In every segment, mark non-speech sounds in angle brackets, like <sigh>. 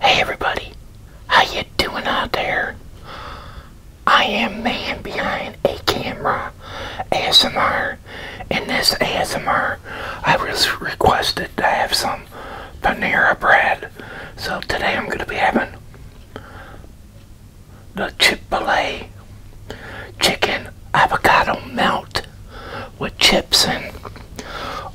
Hey everybody, how you doing out there? I am man behind a camera ASMR. In this ASMR, I was requested to have some Panera bread. So today I'm going to be having the Chipotle Chicken Avocado Melt with chips and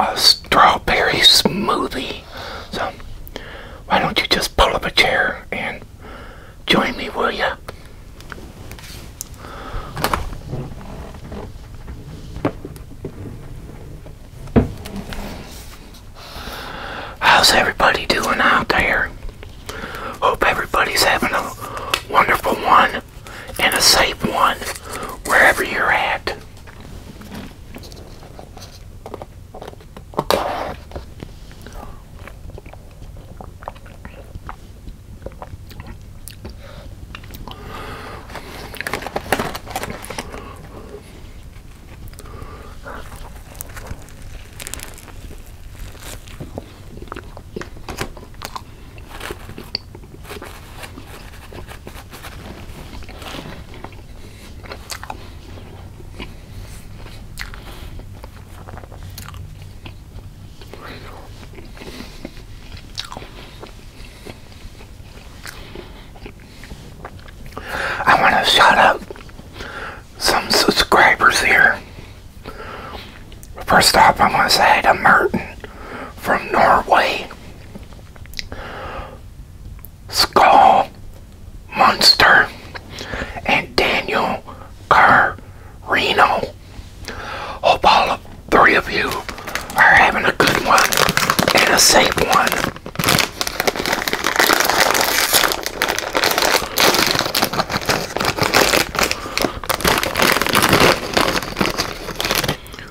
a strawberry smoothie. So, why don't you just pull up a chair and join me, will you? How's everybody doing out there? Hope everybody's having a wonderful one and a safe one wherever you're at. I want to shout out some subscribers here. First off, I want to say to Martin from Norway. Skull monster, and Daniel Carrino. Hope all of three of you are having a good one and a safe one.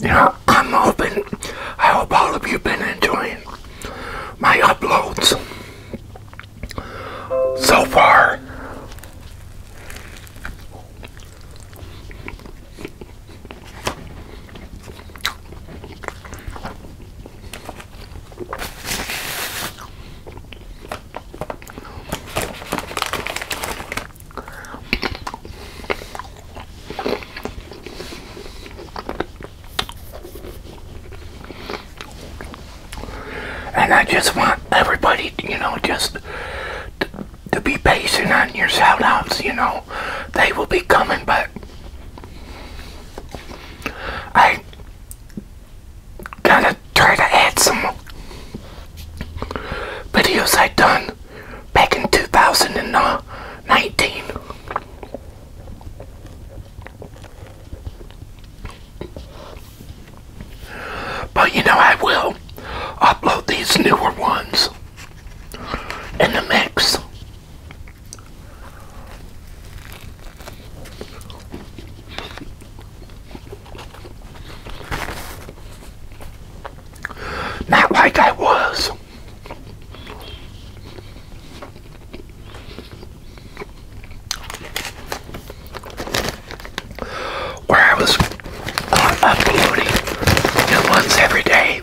You know, I'm hoping, I hope all of you have been enjoying my uploads so far. And I just want everybody, you know, just to be patient on your shoutouts. you know. They will be coming, but I gotta try to add some videos I done back in 2019. But you know, I will upload these newer ones in the mix. Not like I was. Where I was uploading new ones every day.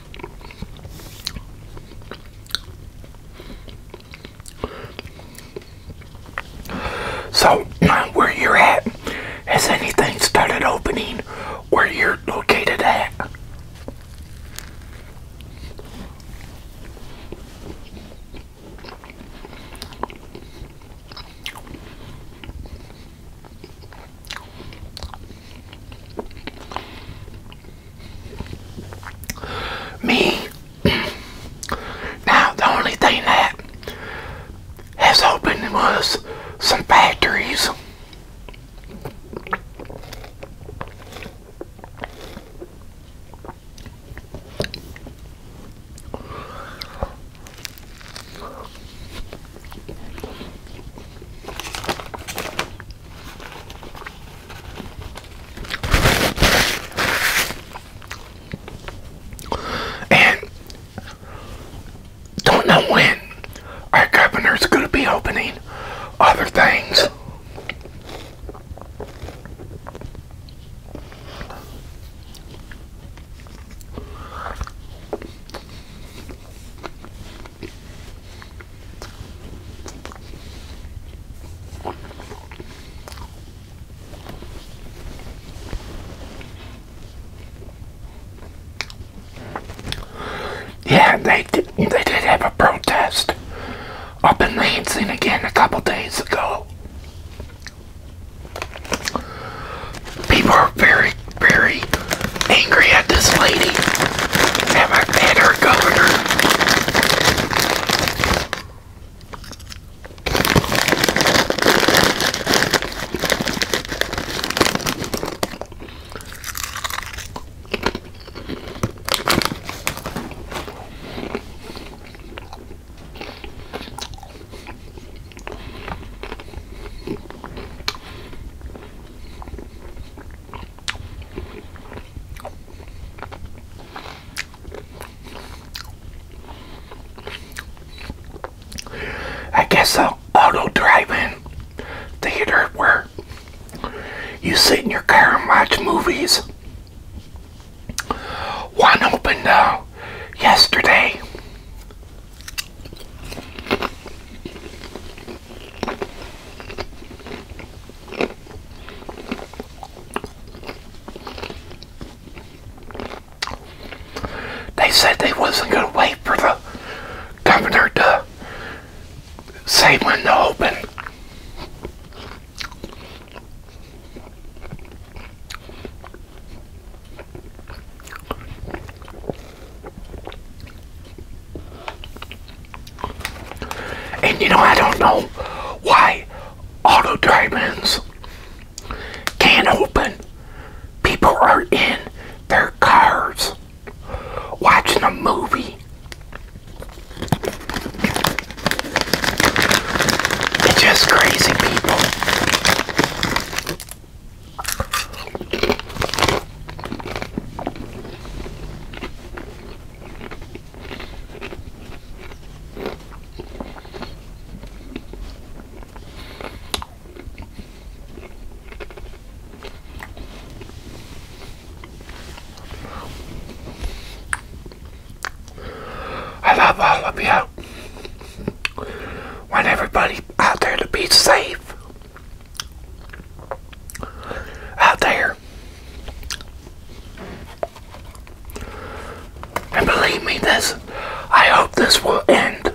So, where you're at, has anything started opening where you're located at? Me. Now, the only thing that has opened was some factories. And don't know when our governor's going to be opening other things. Yeah, they did, they did have a protest I've been dancing again a couple days ago people are very, very angry at this lady and, her governor. I guess I'll auto drive-in theater where you sit in your car and watch movies. One opened uh, yesterday. They said they wasn't going to wait for the governor to say when to open. And you know, I don't know why auto drive-ins can't open. People are in their cars watching a movie. It's just crazy people. I love all of you. Want everybody out there to be safe out there. And believe me, this, I hope this will end.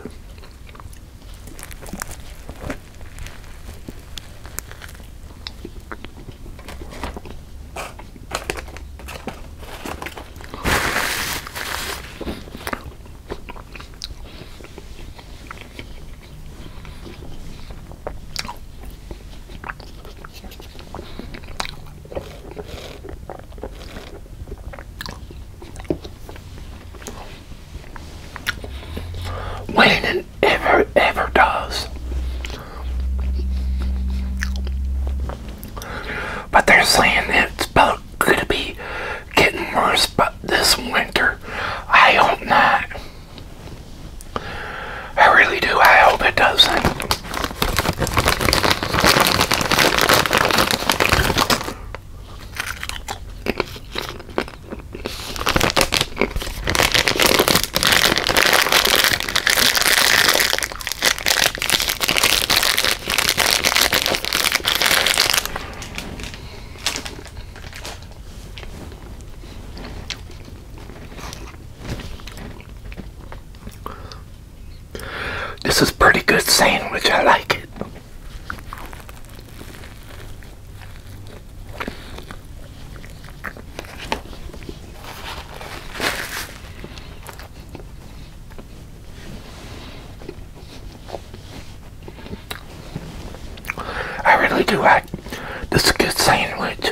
When and ever, ever does. But they're saying it's both going to be getting worse but this winter. I hope not. I really do. I hope it doesn't. This is pretty good sandwich. I like it. I really do like this good sandwich.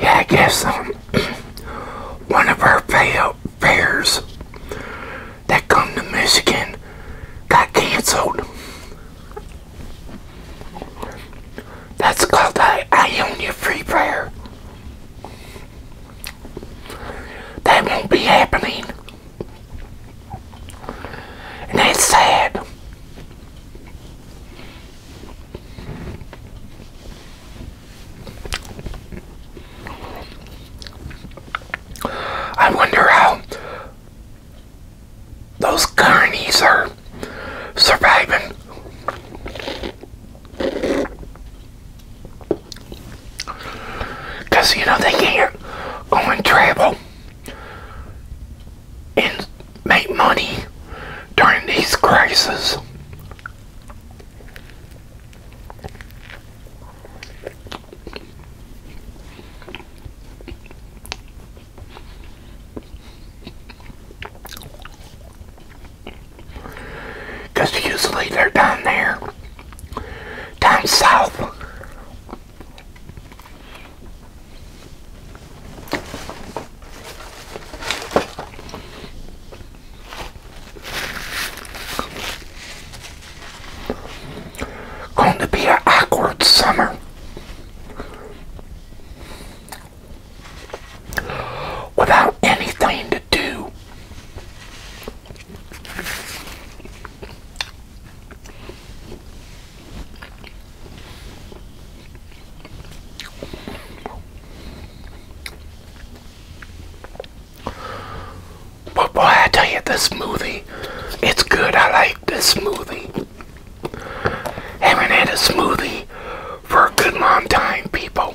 Yeah, I guess um, <clears throat> one of our pay fairs that come to Michigan got canceled. That's called I, I Own Free Prayer. That won't be happening. And that's sad. I wonder how those carnies are surviving. Because, you know, they can't go and travel and make money during these crises. Because usually they're down there, down south. Going to be an awkward summer. Without anything to do. But boy, I tell you, this smoothie, it's good. I like this smoothie. Haven't had a smoothie for a good long time, people.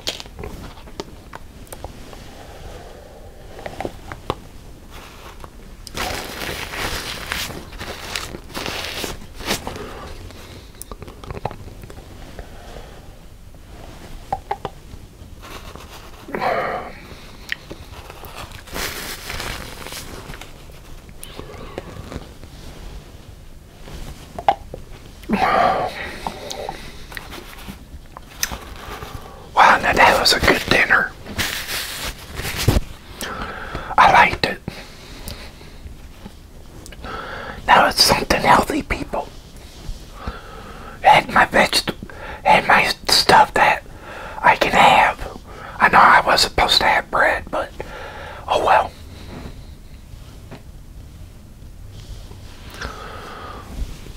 Wow, now that was a good dinner. I liked it. Now it's something healthy, people. Had my vegetable, had my stuff that I can have. I know I was supposed to have bread, but oh well.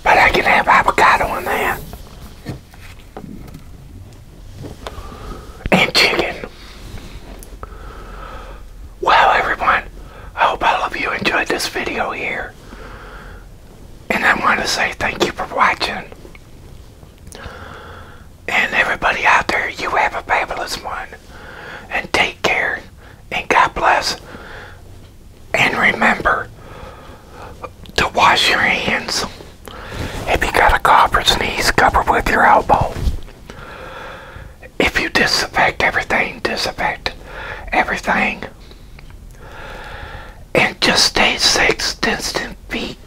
But I can have avocado in there And chicken. Well, everyone, I hope all of you enjoyed this video here. And I want to say thank you for watching. And everybody out there, you have a fabulous one. And take care. And God bless. And remember to wash your hands. If you got a cough or sneeze, cover with your elbow. If you disinfect everything, disinfect everything and just stay six distant feet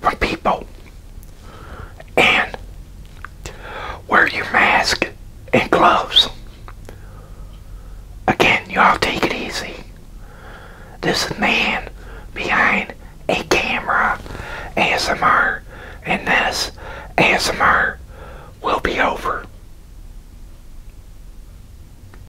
from people and wear your mask and gloves. Again, y'all take it easy. This man behind a camera ASMR and this ASMR will be over.